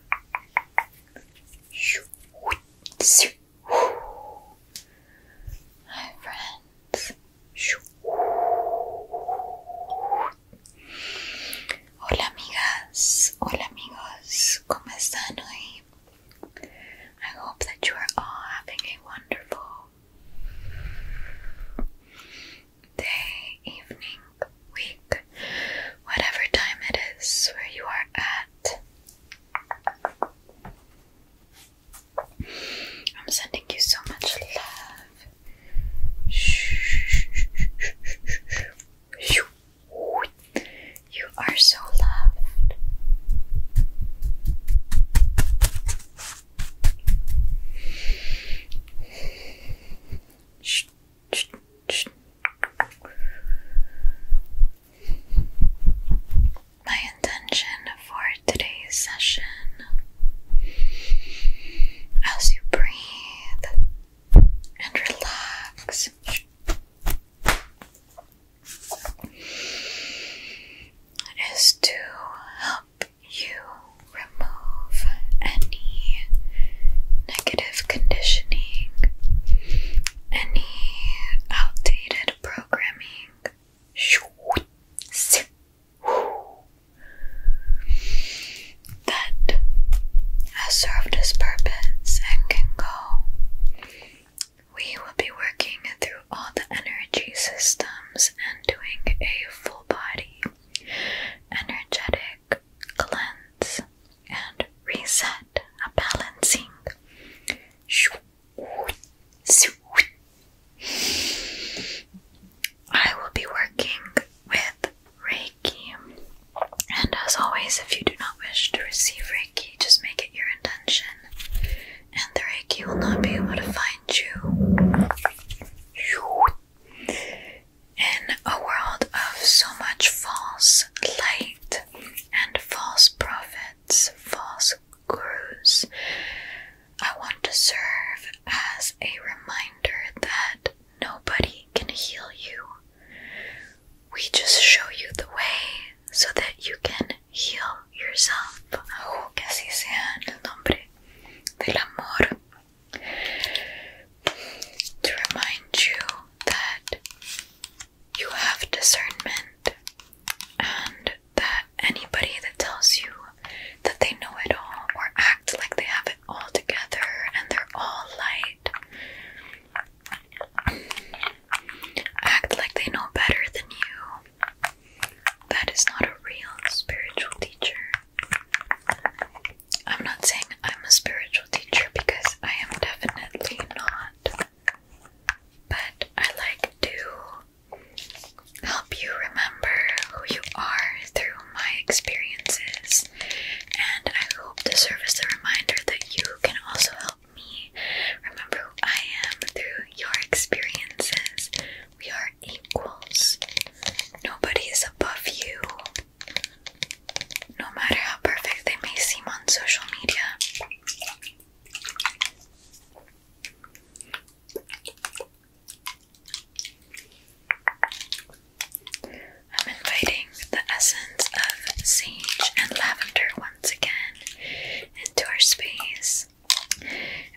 Hi friends. Hola amigas. Hola amigos. ¿Cómo están hoy? I hope that you are all having a wonderful day, evening, week, whatever time it is where you are at. I'm sending you so much love. You are so loved. My intention for today's session as you breathe and relax. Is to help you remove any negative conditioning, any outdated programming. That has served its purpose and can go. We will be working through all the energy systems and doing a full body energetic cleanse and reset a balancing. I will be working with Reiki, and as always, if you do not wish to receive Reiki, just make it your intention, and the Reiki will not be able to find you. In a world of so much false light and false prophets, false gurus. I want to serve as a reminder that nobody can heal you. We just show you the way so that you can heal yourself. To remind you that you have discernment and that anybody that tells you that they know it all or act like they have it all together and they're all light act like they know better than you that is not a real spiritual teacher i'm not saying i'm a spiritual teacher because I am definitely not. But I like to help you remember who you are through my experiences, and I hope to serve as a reminder that you can also help me remember who I am through your experiences. We are equals, nobody is above you. No matter how perfect they may seem on social media, I'm inviting the essence of sage and lavender once again into our space.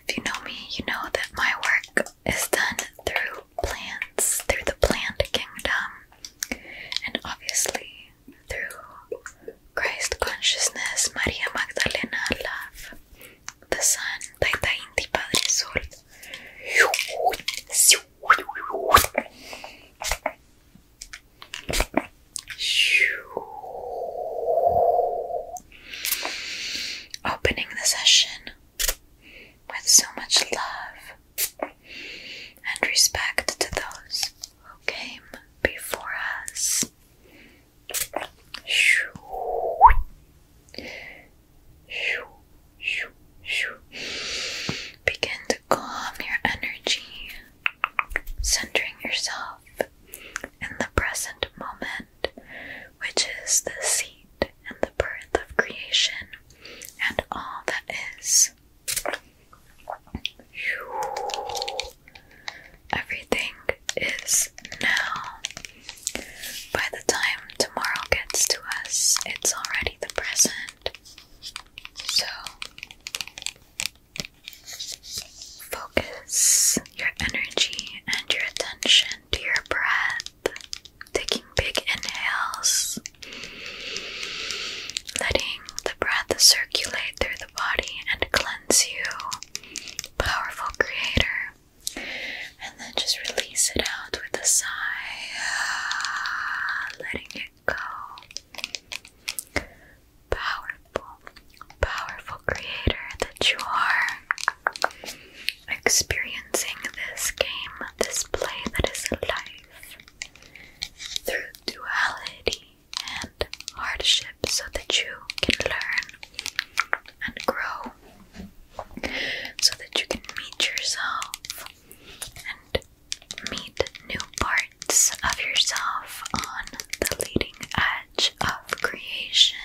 If you know me, you know that my work is done through plants, through the plant kingdom, and obviously through Christ consciousness, Maria Magdalena, love, the Son, Taita Inti, Padre Sol. Opening the session with so much love and respect to those who came before us. Begin to calm your energy, centering yourself in the present moment, which is the seat and the birth of creation and all that is. Everything is now. By the time tomorrow gets to us, it's already the present. So, focus your energy and your attention to your breath, taking big inhales letting the breath circulate through the body and cleanse you, powerful creator. And then just release it out with a sigh, letting it go. Powerful, powerful creator that you are. Experiencing this game, this play that is life through duality and hardship so that you can learn and grow, so that you can meet yourself and meet new parts of yourself on the leading edge of creation.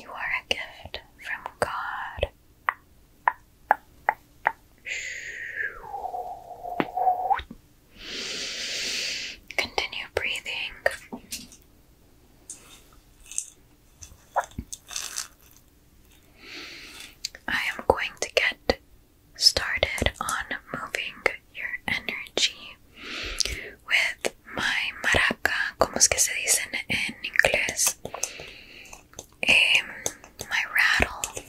You are a gift from God. Continue breathing. I am going to get started on moving your energy with my maraca, como es que se dicen en inglés? um, my rattle.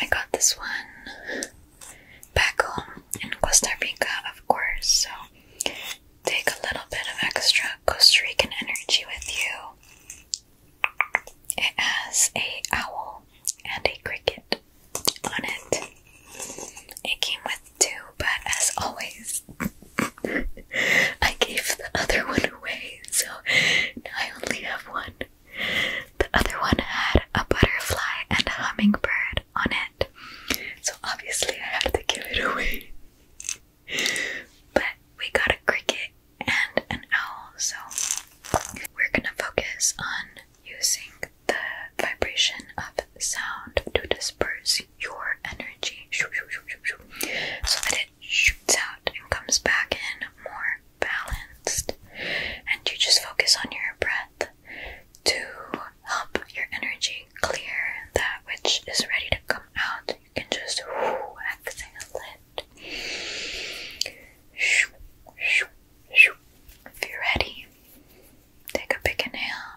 I got this one back home in Costa Rica, of course, so take a little bit of extra Costa Rican energy with you. It has a owl and a cricket on it. It came with two, but as always, I gave the other one away so I only have one. The other one had a butterfly and a hummingbird on it, so obviously I have to give it away. But we got a cricket and an owl, so we're gonna focus on using the vibration of sound to disperse your energy shoots out and comes back in more balanced. And you just focus on your breath to help your energy clear that which is ready to come out. You can just exhale it. If you're ready, take a big inhale.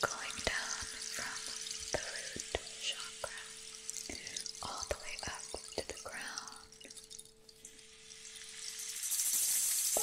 going down from the root chakra all the way up to the ground. Now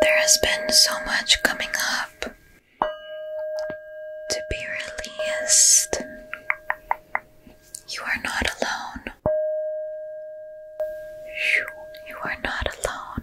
There has been so much coming up to be released. You are not alone. You are not alone.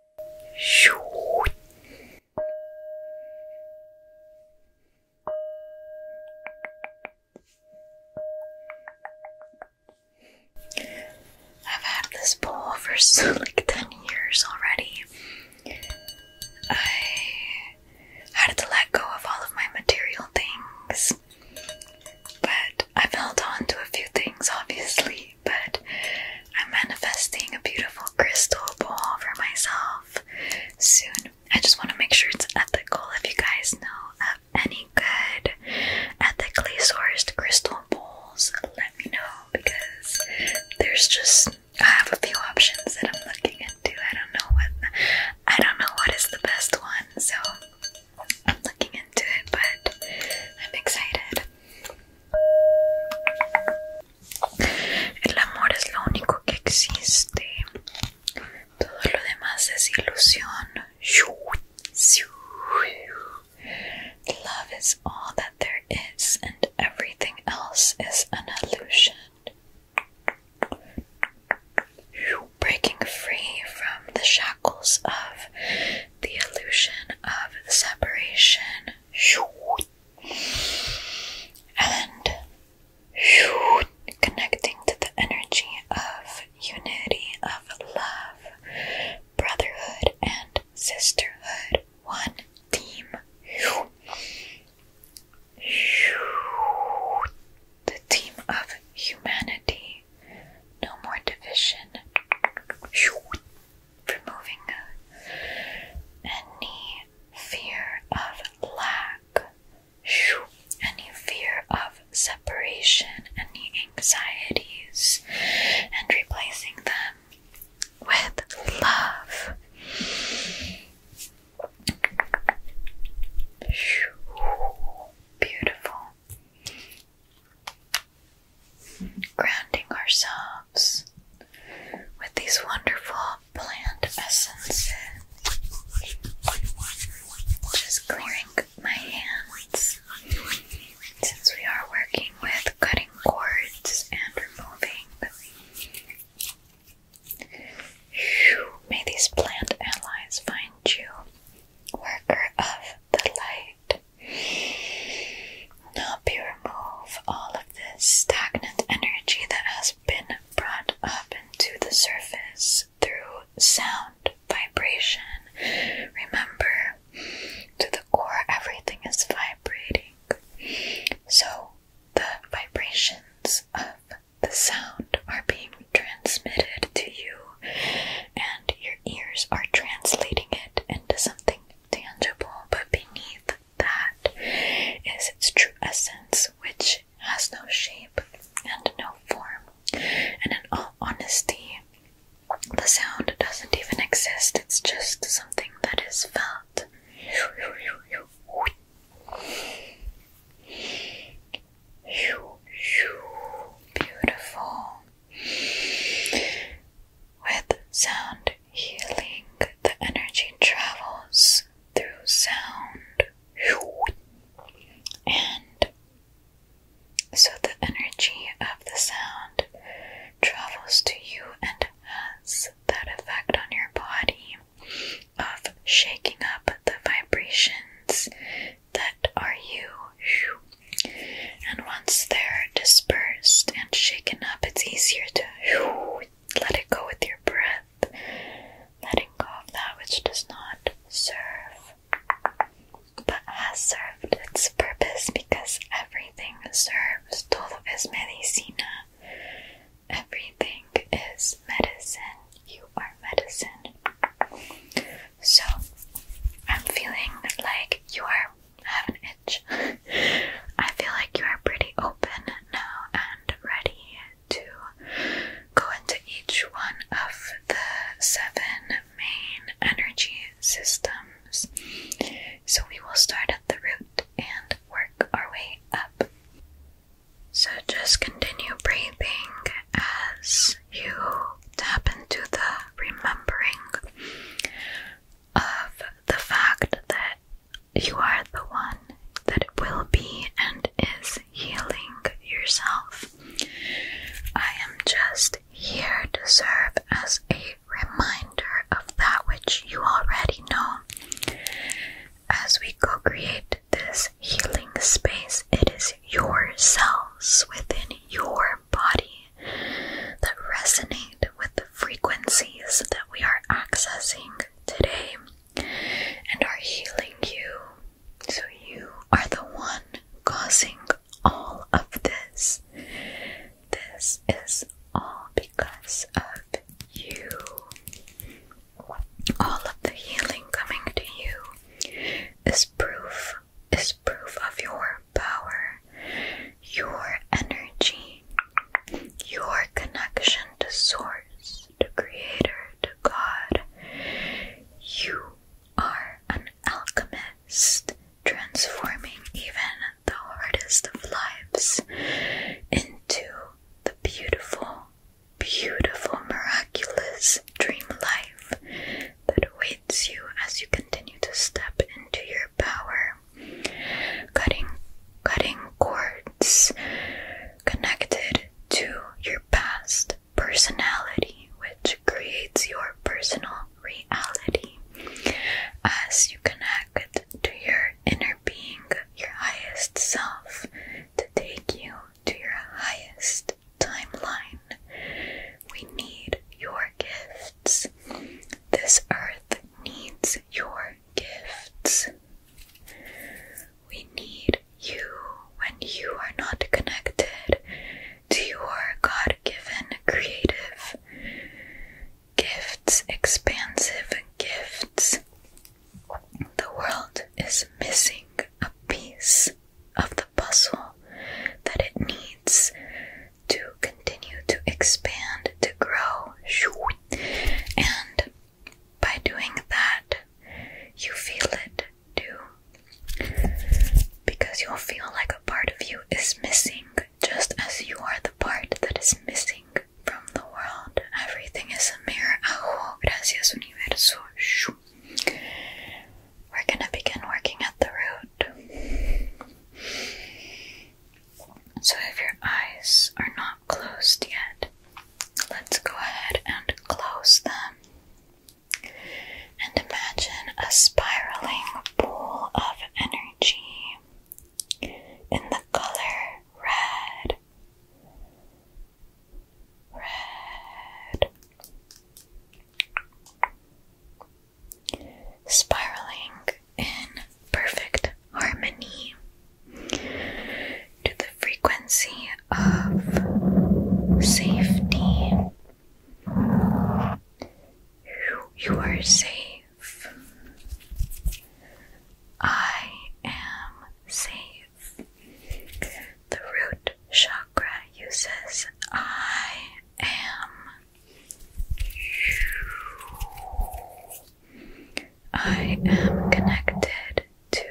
I've had this bowl for like 10 years already. I had to let go of all of my material things, but I've held on to a few things, obviously but I'm manifesting a beautiful crystal bowl for myself soon. I just want to make sure it's ethical. If you guys know of any good ethically sourced crystal bowls, let me know because there's just I have a few options that I'm looking into. I don't know what I don't know what is the best one, so I'm looking into it, but I'm excited. El amor es lo único que existe. Todo lo demás es ilusión. Love is all that there is, and everything else is an illusion. Breaking free from the shackles of the illusion of separation and connecting to the energy of unity, of love, brotherhood, and sisterhood. One team. The team of humanity. No more division removing any fear of lack, any fear of separation, any anxieties, and replacing them with love. Beautiful grounding ourselves with these wonderful plant essences. Just clearing my hands since we are working with cutting cords and removing. May these plant allies find you, worker of the light. Now we remove all of this stagnant energy that has been brought up into the surface through sound, vibration. Remember, to the core, everything is vibrating. So, the vibrations of the sound are being transmitted to you, and your ears are translating it into something tangible. But beneath that is its true essence, which has no shape and no form. And in all honesty, the sound doesn't even exist, it's just something that is felt. Beautiful. With sound, healing. The energy travels through sound, and so the energy of the sound travels to you and has that effect on your body of shaking up the vibrations that are you. And once they're dispersed and shaken up, it's easier to let it go with your breath, letting go of that which does not serve but has served its purpose because everything serves. Todo es medicina. Everything is medicine. You are medicine. So, I'm feeling like you are I have an itch. I feel like you are pretty open now and ready to go into each one of the seven main energy systems. So we will start at the root and work our way up. So just continue breathing as you tap into the remembering of the fact that you are the one that will be and is healing yourself. I am just here to serve as a reminder of that which you already know. As we co create this healing space, it is your cells within your body that resonate with the frequencies that we are accessing today and are healing you. So, you are the one causing all of this. This is all because of you. All of the healing coming to you is proof, is proof of your power your energy, your connection to Source, to Creator, to God. You are an alchemist, transforming even the hardest of lives into the beautiful, beautiful, miraculous dream life that awaits you as you continue to step into your power, cutting cutting cords connected to your past personality, which creates your personal reality. As you connect to your inner being, your highest self, to take you to your highest timeline, we need your gifts. This earth needs your gifts. We need you when you are not connected to your God given creative gifts, expansive gifts. The world is missing a piece of the puzzle that it needs to continue to expand, to grow. And by doing that, you feel it too. Because you'll feel like a part of you is missing, just as you are the part that is missing from the world. Everything is a mere Oh, gracias, universo. We're gonna begin working at the root. So, if your eyes are not closed yet. Let's go ahead and close them. And imagine a spiraling pool of energy in the color red. Red. Spiraling in perfect harmony to the frequency of safety. You are safe. I am safe. The root chakra uses I am. I am connected to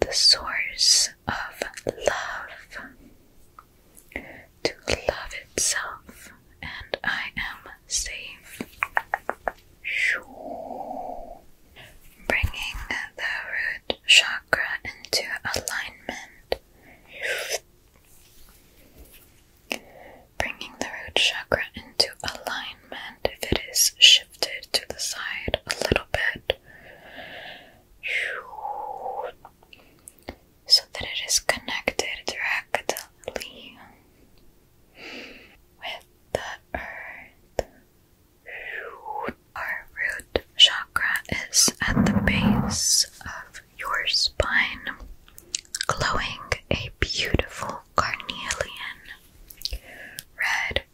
the source of love, to love itself, and I am safe. Sure, Bringing the root chakra into alignment bringing the root chakra into alignment if it is shifted to the side a little bit so that it is connected directly with the earth. Our root chakra is at the base of your spine, glowing a beautiful carnelian, red,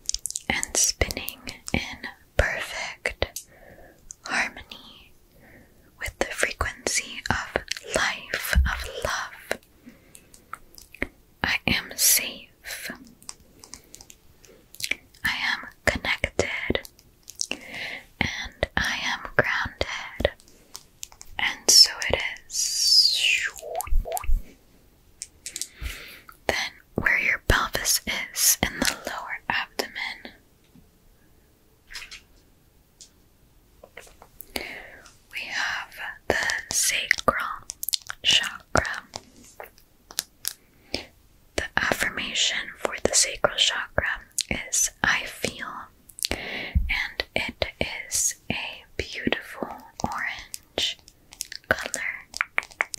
and spinning in perfect harmony with the frequency of life, of love. I am safe. I am connected. And I am grounded. And so it is. Then, where your pelvis is in the lower abdomen, we have the sacral chakra. The affirmation for the sacral chakra is I feel and it is a beautiful orange color.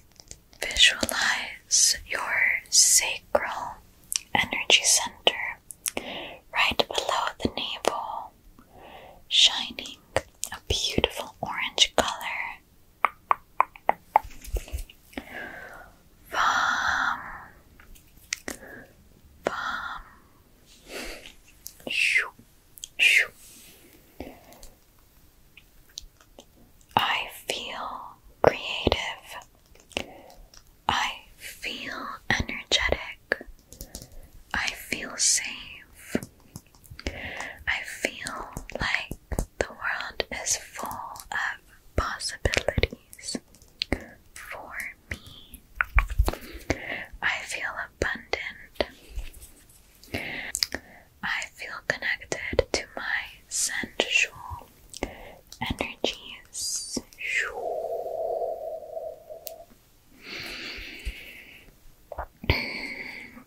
Visualize your sacral energy center right below the navel, shining a beautiful orange color. Bum, bum, I feel creative. I feel energetic. I feel safe. I feel like the world is full of possibilities for me. I feel abundant. I feel connected to my sensual energies.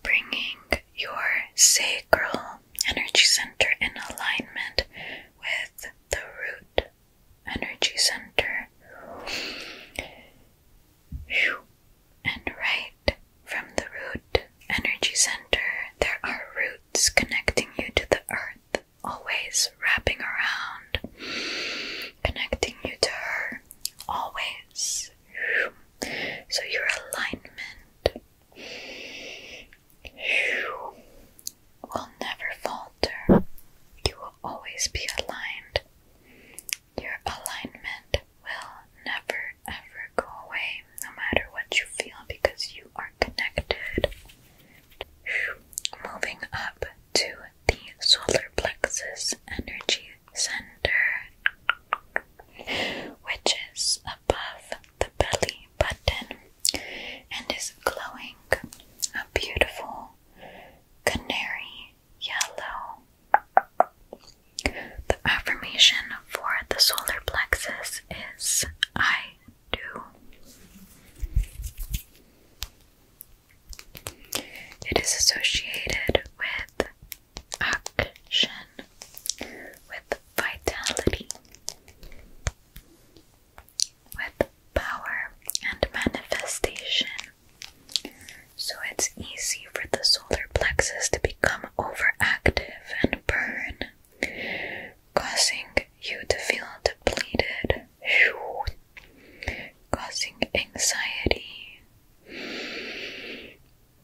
Bringing your sacral energy center in alignment with the root energy center. And right from the root energy center, there are roots connecting you to the earth, always wrapping around, connecting you to her, always. So your alignment will never falter. You will always be aligned your alignment will never ever go away, no matter what you feel, because you are connected. Moving up to the solar plexus energy center, which is above the belly button and is glowing a beautiful canary yellow. The affirmation for the solar plexus is I do. It is associated with action, with vitality, with power and manifestation so it's easy for the solar plexus to become overactive and burn, causing you to feel depleted, causing anxiety,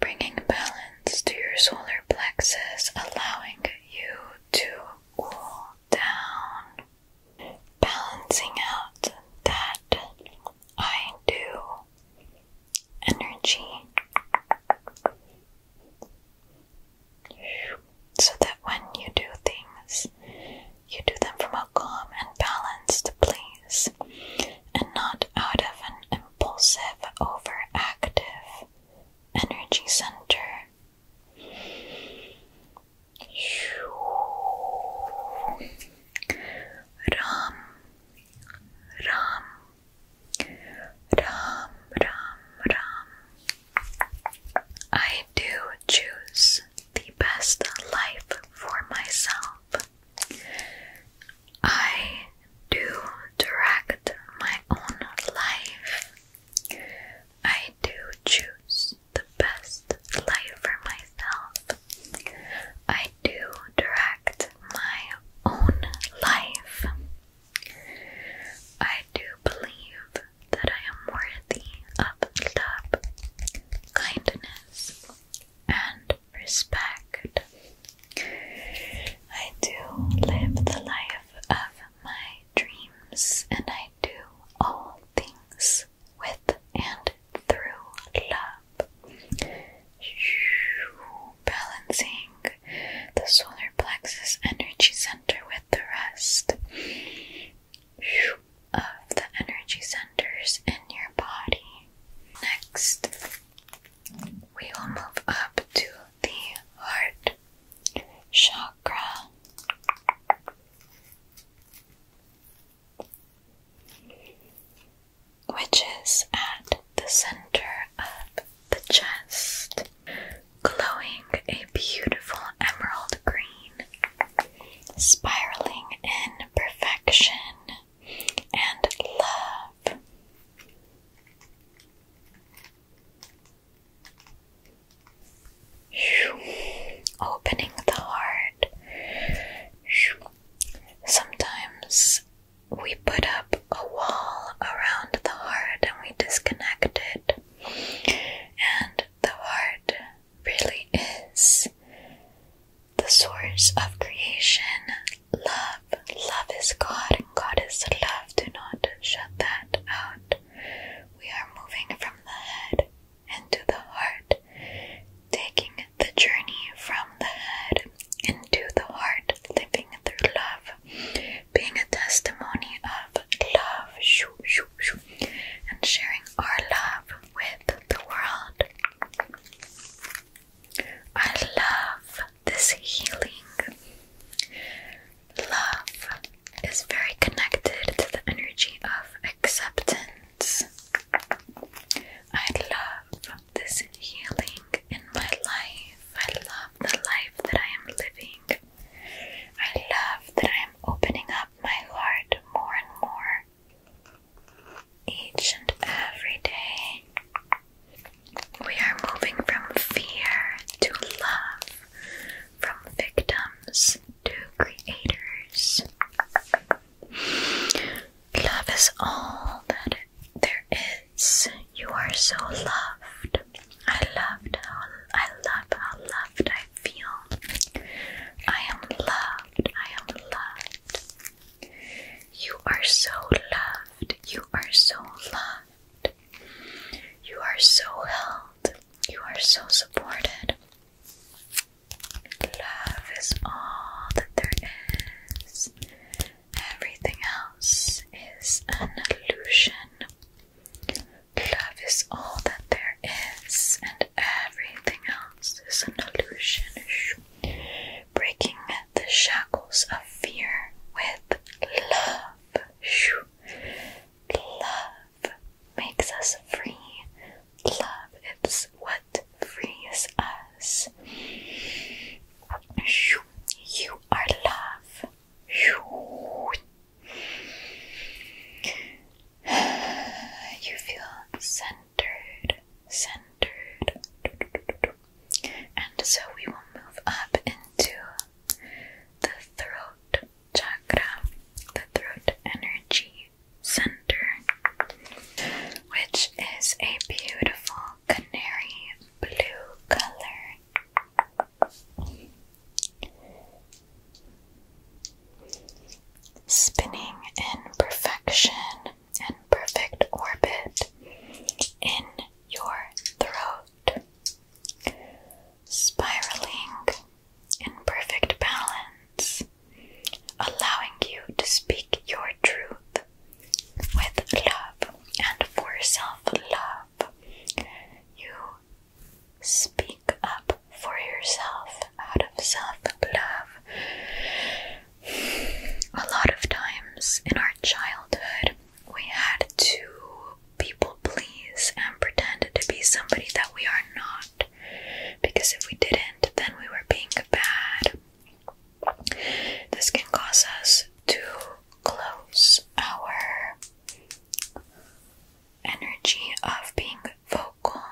bringing balance to your solar plexus, allowing you to cool down, balancing out that I do energy so that when you do things, you do them from a calm and balanced place and not out of an impulsive, overactive energy center. Ram, Ram, Ram, Ram, Ram. I do choose the best life for myself. I do direct my own life. I do choose the best life for myself. I do direct my own life. I do believe that I am worthy of love, kindness, and respect. I do live the life of my dreams and I do all things with and through love. Balancing the solar plexus energy center with the rest of the energy centers in your body. Next, we will move up to the heart chakra which is at the center of the chest, glowing a beautiful emerald green, spiraling in perfection and love. Opening the heart Sometimes we put up a wall around the heart and we disconnect it, and the heart really is the source of creation. Love, love is God, and God is love. Do not shut that out. We are moving from the head and the heart, taking the journey from the head into the heart, living through love, being a testimony of love, and sharing our love with the world. I love this healing. Love is very connected to the energy of acceptance I love this healing in my life. I love the life that I am living. I love that I am opening up my heart more and more each and every day. We are moving from fear to love, from victims to creators. Love is all that there is. You are so loved. I loved how I love how loved I feel. I am loved. I am loved. You are so loved. You are so loved. You are so held. You are so supported. Love is all that there is. Everything else is an illusion. Love is all that there is, and everything else is an illusion. Breaking the shackles of fear with love. Love makes us free. Love, it's what Free frees us. You are love. You feel centered, centered. And so we will move up into the throat chakra, the throat energy. Center, which is a beautiful canary blue color. Spinning in perfection and perfect orbit in your throat, spiraling in perfect balance allowing you to speak your truth with love and for self love. You speak up for yourself out of self love. A lot of times in our childhood, we had to people please and pretend to be somebody that we are not. Because if we didn't, then we were being bad. This can cause us to close our energy of being vocal.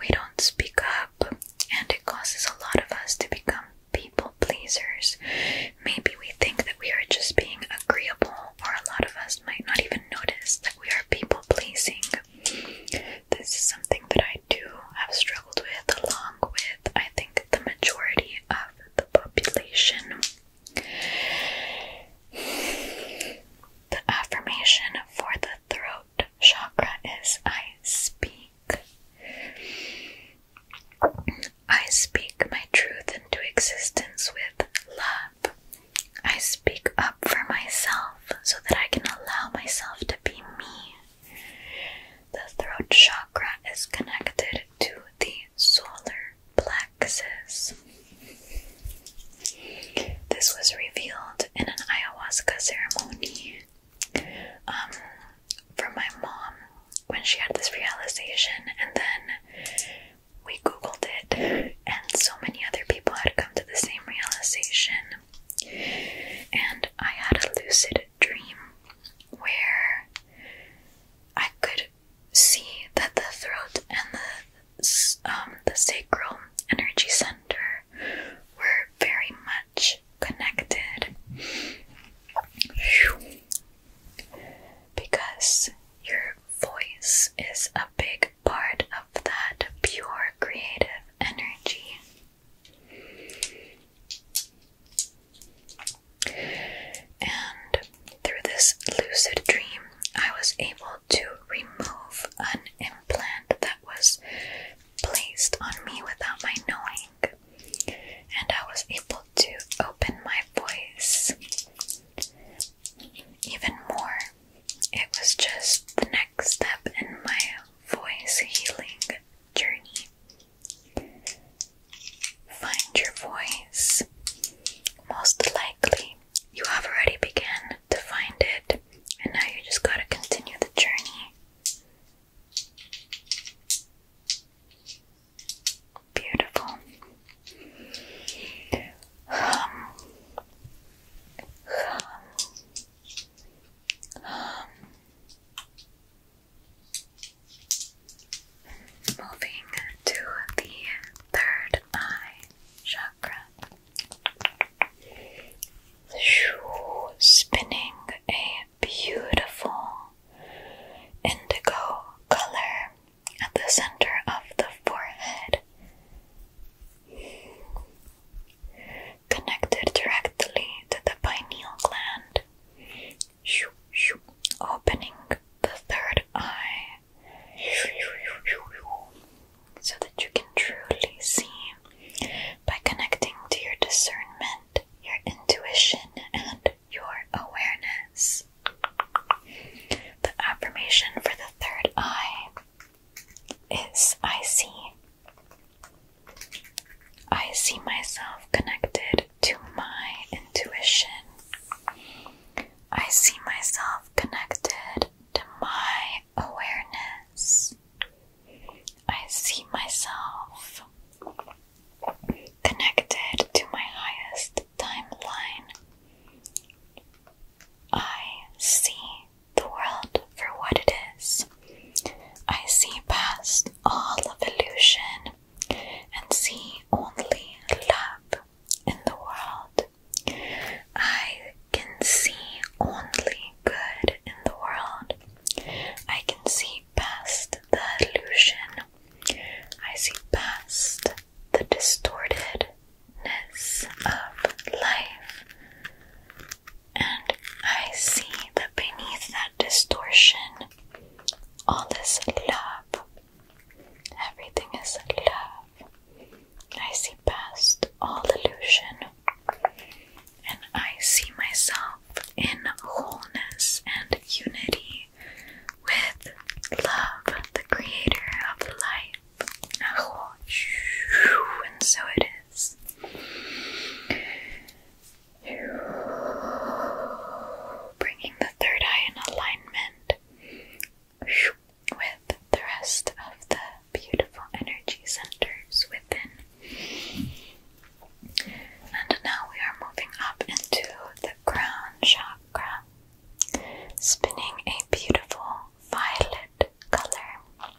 We don't speak up, and it causes a lot of us to become people pleasers. Maybe we think that we are just being agreeable, or a lot of us might not even notice that we are people pleasing. This is something that I do have struggled with, along with I think the majority of the population. The affirmation for the throat chakra is I speak. I speak my truth into existence with love. I speak up for myself so that I can allow myself to be me. The throat chakra is connected to the solar plexus. This was revealed in an ayahuasca ceremony um, my mom when she had this realization, and then we Googled it, and so many other people had come to the same realization. And I had a lucid dream where I could see that the throat and the um, the sacral energy center were very much connected because your voice is a big part of that pure creative energy and through this lucid dream, I was able to remove an implant that was placed on me without my knowing. And I was able to open my voice even more. It was just the next step in my voice healing journey. Find your voice. Most likely, you have already begun to find it, and now you just gotta continue the journey. Beautiful. Hum. Hum. Moving to the third eye chakra. Spinning a beautiful indigo color at the center of the forehead connected directly to the pineal gland, opening the third eye so that you can truly see by connecting to your discernment, your intuition, and your awareness. The affirmation for the third eye is I see I see myself connected to my intuition. I see myself connected to my awareness. I see myself connected to my highest timeline. I see the world for what it is. I see past all of illusion and see only love in the world. I can see only good in the world. I can see past the illusion. I see past the distortedness of life. And I see that beneath that distortion, all this love, everything is love. I see past all delusion, and I see myself in wholeness and unity with love, the creator of life. Ah, and so it is. Bringing the third eye in alignment with the rest of the beautiful energy centers within. And now we are moving up into the crown chakra, spinning a beautiful violet color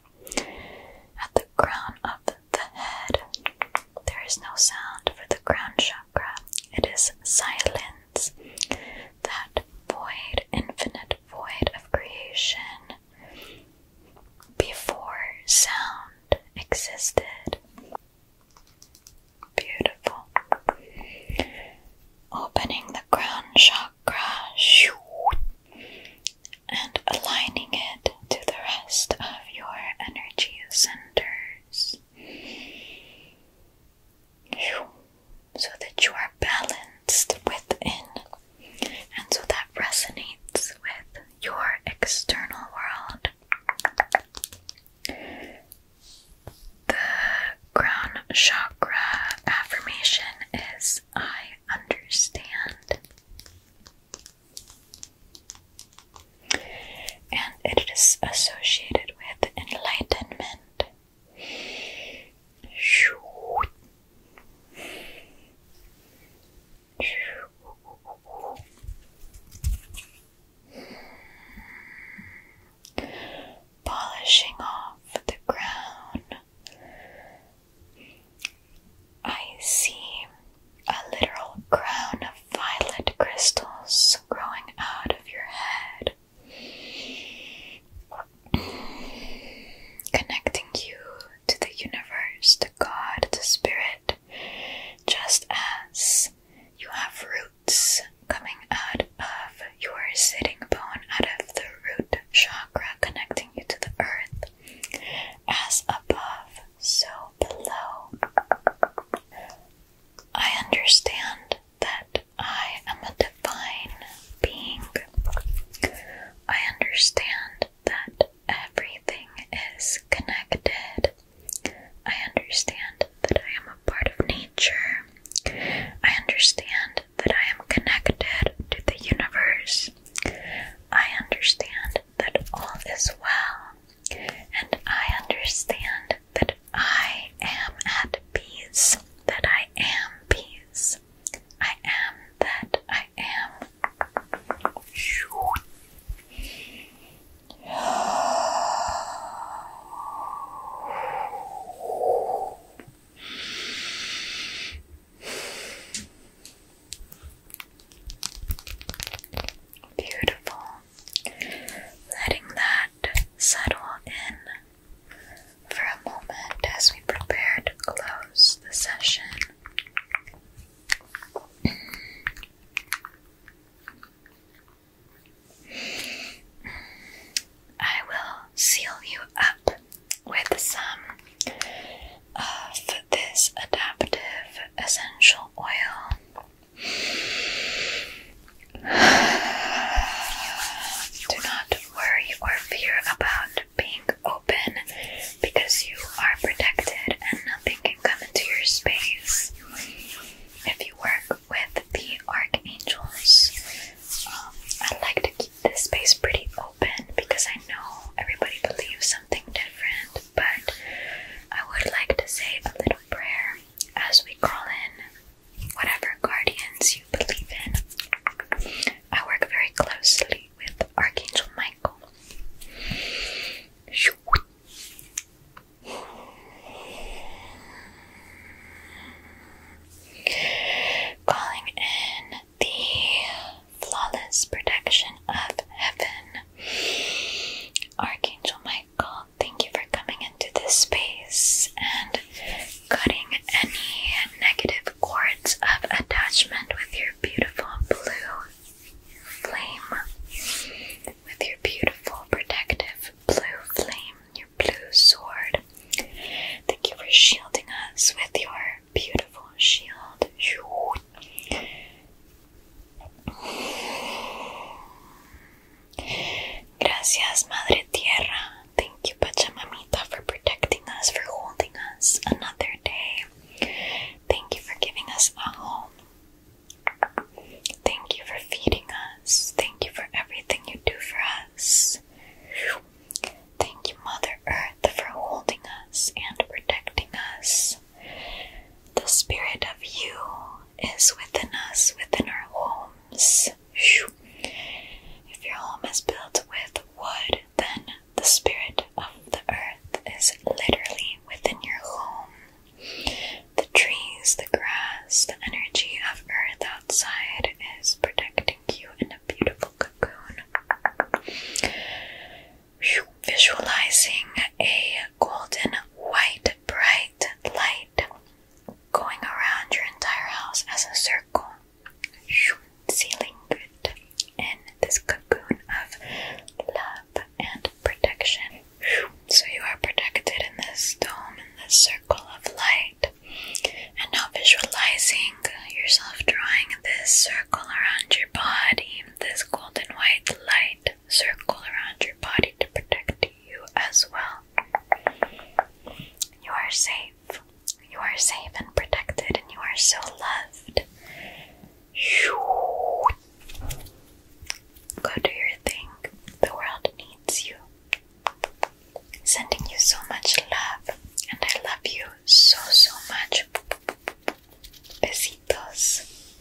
at the crown of the head. There is no sound for the crown chakra. It is silence, that void, infinite void of creation before sound existed. Beautiful. Opening the crown chakra and aligning it to the rest of your energy centers so that you are balanced within and so that resonates with your external world. The crown chakra affirmation is I understand and it is associated with enlightenment. Polishing off the crown I see a literal crown of violet crystals growing out of your head, connecting you to the universe, to God, to spirit, just as you have roots coming out of your sitting bone, out of the root chakra, connecting you to the earth. As above, so below. I understand that I am a divine being. I understand that everything is connected. I understand that I am a part of nature. I understand that I am connected to the universe. I understand that all is well, and I understand that I am at peace, that I am peace. I am that I am. Beautiful. Letting that settle in for a moment as we prepare to close the session. I will seal you up with some of this adaptive essential oil Do not worry or fear about being open because you are protected and nothing can come into your space. If you work with the archangels, um, I like to keep this space pretty open because I know everybody believes something different but I would like to say a little prayer as we call in whatever guardians you believe in. I work very closely with Archangel Michael. Calling in the flawless protection of heaven Archangel Michael, thank you for coming into this space and cutting any negative cords of attachment with your beautiful blue flame. With your beautiful protective blue flame, your blue sword. Thank you for shielding us with your beautiful shield. Gracias, Madre Tierra. Thank you, Pachamamita, for protecting us, for holding us another day. Thank you for giving us a home. Thank you for feeding us. Thank you for everything you do for us. Thank you, Mother Earth, for holding us and protecting us. The spirit of you is within us, within our homes. If your home is built with wood, then the spirit of the earth is literally within your home. The trees, the grass, the energy of earth outside is protecting you in a beautiful cocoon visualizing a golden white bright light going around your entire house as a circle, sealing good in this cocoon of love and protection. So you are protected in this dome, in this circle of light. And now visualizing yourself drawing this circle around your body, this golden white light circle around body to protect you as well. You are safe. You are safe and protected, and you are so loved. Go do your thing. The world needs you. Sending you so much love, and I love you so, so much. Besitos.